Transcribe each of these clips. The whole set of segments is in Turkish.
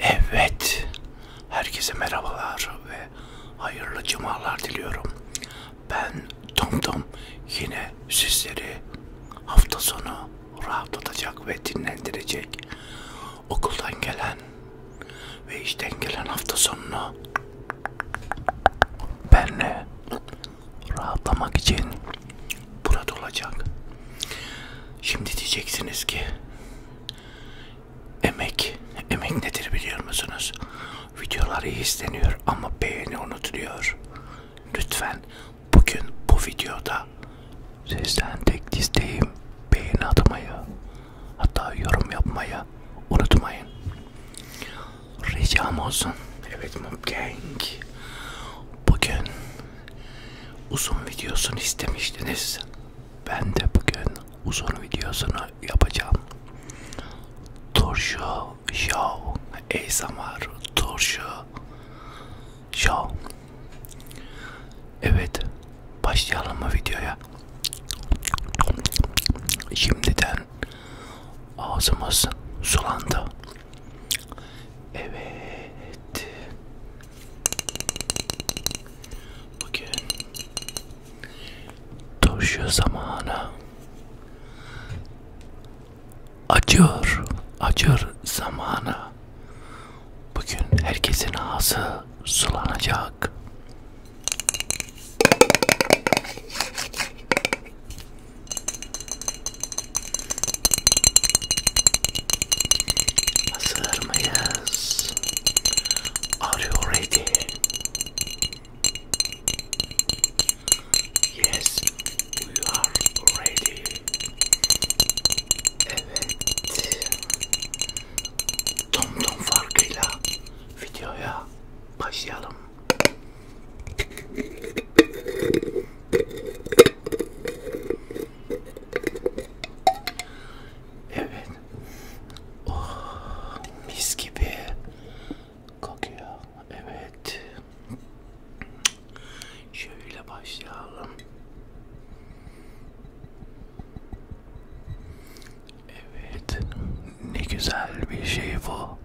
Evet, herkese merhabalar ve hayırlı cumalar diliyorum. Ben TomTom Tom. yine sizleri hafta sonu rahatlatacak ve dinlendirecek. Okuldan gelen ve işten gelen hafta sonunu benle rahatlamak için burada olacak. Şimdi diyeceksiniz ki Emek, emek nedir biliyor musunuz? Videolar iyi isteniyor ama beğeni unutuluyor. Lütfen bugün bu videoda sizden tek isteğim beğeni atmayı, hatta yorum yapmayı unutmayın. Ricam olsun. Evet Mumgang. Bugün uzun videosunu istemiştiniz. Ben de bugün uzun videosunu yapacağım. Turşu Show ASMR Turşu Show Evet başlayalım mı videoya? Şimdiden ağzımız sulandı. Evet. Bugün turşu zamanı acıyor, acıyor zamanı. Bugün herkesin ağzı sulanacak. Hazır mıyız? Are you ready? Yes, we are ready. Evet. Tom tom farkıyla videoya başlayalım. Evet. Oh, mis gibi kokuyor. Evet. Şöyle başlayalım. Evet. Ne güzel bir şey bu.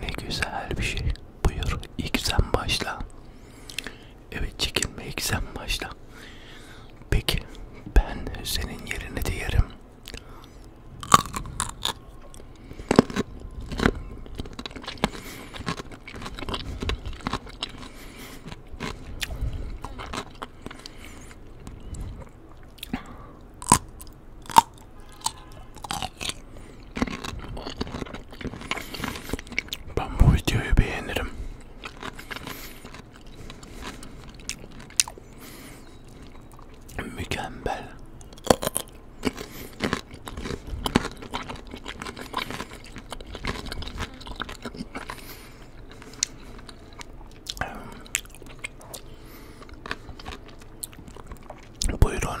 Ne güzel bir şey. Buyur ilk sen başla. Evet çekilmeye sen başla. Peki ben senin yerine de yerim. Ben bu videoyu beğenirim. Mükemmel. Buyurun.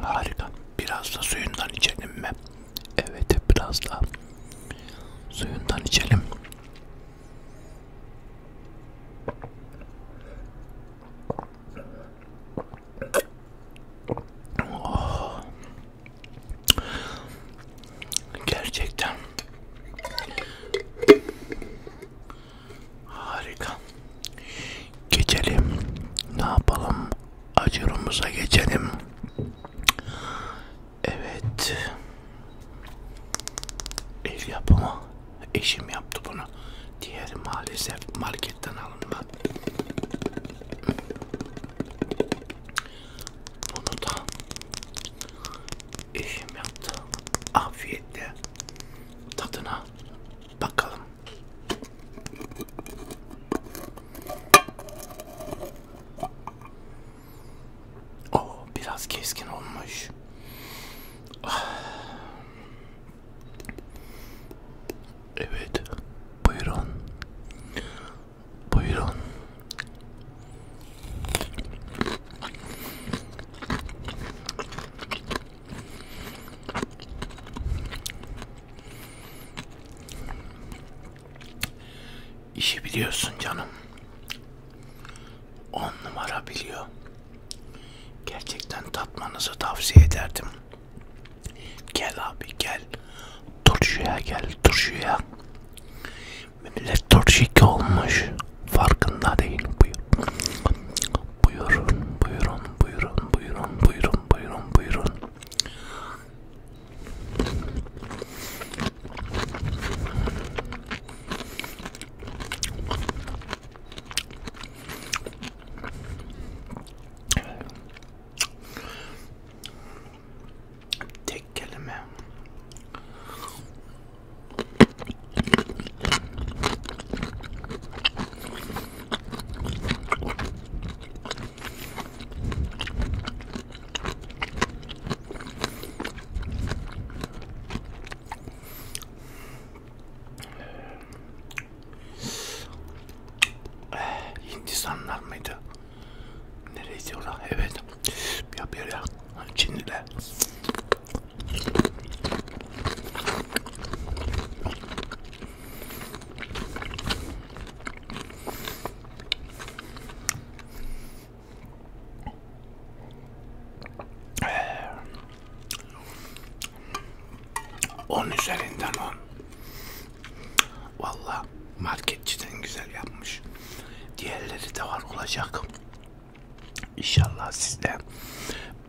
Harika. Biraz da suyundan içelim mi? Evet biraz da suyundan içelim. Oh. Gerçekten Harika. Geçelim. Ne yapalım? Acurumuza geçelim. Evet. El yapımı. Eşim yaptı bunu. Diğeri maalesef marketten alınma. Bunu da Eşim yaptı. Afiyetle tadına bakalım. Oo, oh, biraz keskin olmuş. Ah. Evet, buyurun. Buyurun. İşi biliyorsun canım. On numara biliyor. Gerçekten tatmanızı tavsiye ederdim. Gel abi gel. Turşuya gel turşuya. Millet torşik olmuş. Farkında değil. Buyur. Buyurun, buyurun, buyurun, buyurun, buyurun, buyurun, buyurun. Tek kelime. Eh, Hindistanlar mıydı? Nereydi orada? Evet. Ya bir yer Çinliler. Ee, on üzerinden on. Valla marketçiden güzel yapmış. Diğerleri de var olacak. İnşallah sizle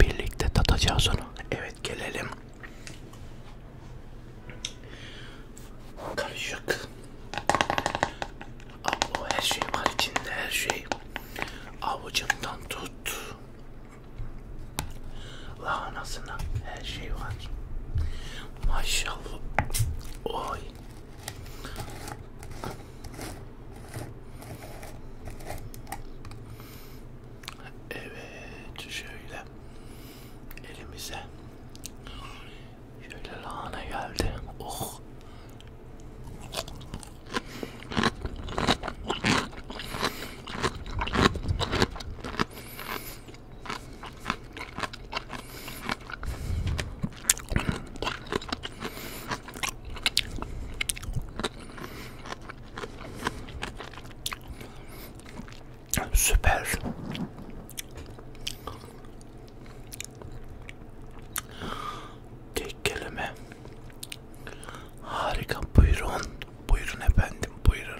birlikte tatacağız onu. Evet gelelim. Karışık. Ablo her şey var içinde her şey. Avucumdan tut. Lahanasına her şey var. Maşallah. Oy. Evet şöyle elimize şöyle lahana geldi. Oh. Süper. Tek kelime. Harika buyurun. Buyurun efendim buyurun.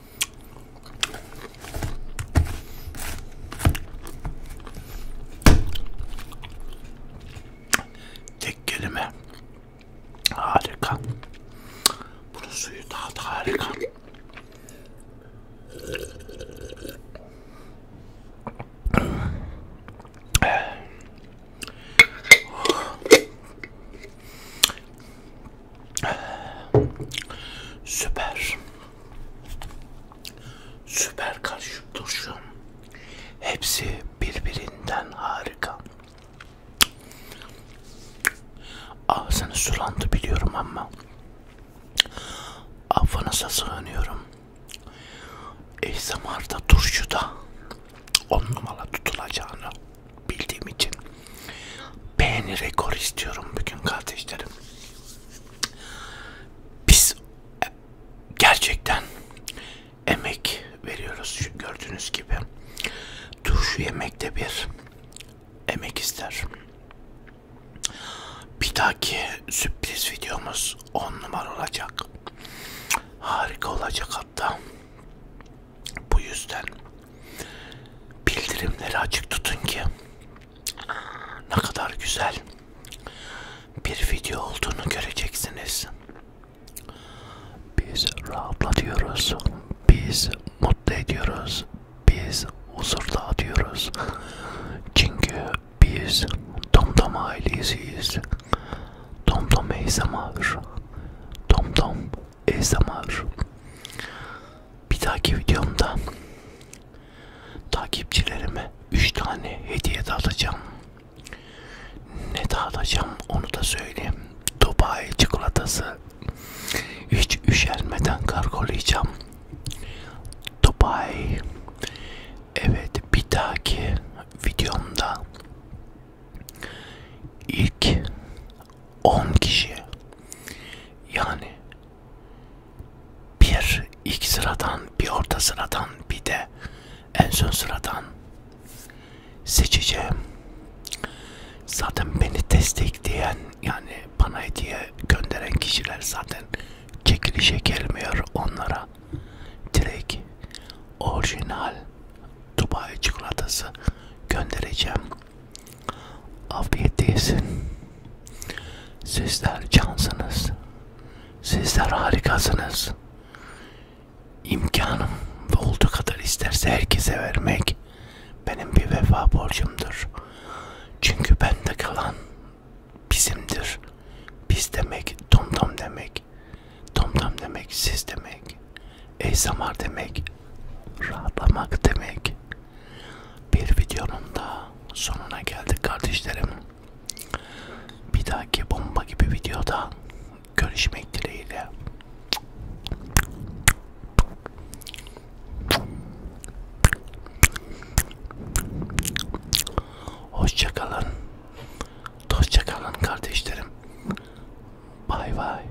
Tek kelime. Harika. Bunun suyu daha da harika. Süper. Süper karışık turşu. Hepsi birbirinden harika. Ağzını sulandı biliyorum ama affınıza sığınıyorum. Ey zamarda turşuda on numara tutulacağını bildiğim için beğeni rekor istiyorum bugün kardeşlerim. Biz e, gerçekten emek veriyoruz Şu gördüğünüz gibi. Turşu yemekte bir emek ister. Bir dahaki sürpriz videomuz 10 numara olacak. Harika olacak hatta. Bu yüzden bildirimleri açık tutun ki ne kadar güzel bir video olduğunu göreceksiniz. Biz rahatlatıyoruz, biz mutlu ediyoruz, biz huzur dağıtıyoruz. Çünkü biz Domdom ailesiyiz. Domdom ASMR. Domdom ASMR. Bir dahaki videomda takipçilerime 3 tane hediye dağıtacağım. Ne dağıtacağım onu da söyleyeyim. Dubai çikolatası. Hiç üşenmeden kargolayacağım. Dubai. Evet bir dahaki videomda ilk 10 kişi yani bir ilk sıradan bir orta sıradan bir de en son sıradan seçeceğim. Zaten beni destekleyen yani bana hediye gönderen kişiler zaten çekilişe gelmiyor onlara. Direkt orijinal Dubai çikolatası göndereceğim. Afiyet değilsin. Sizler cansınız. Sizler harikasınız. İmkanım ve olduğu kadar isterse herkese vermek benim bir vefa borcumdur. Çünkü bende kalan bizimdir. Biz demek tomtom demek. Tomtom demek siz demek. Ey zamar demek. Rahatlamak demek. Bir videonun da sonuna geldik kardeşlerim. Bir dahaki bomba gibi videoda görüşmek dileğiyle. Hoşça kalın. Dostça kalın kardeşlerim. Bay bay.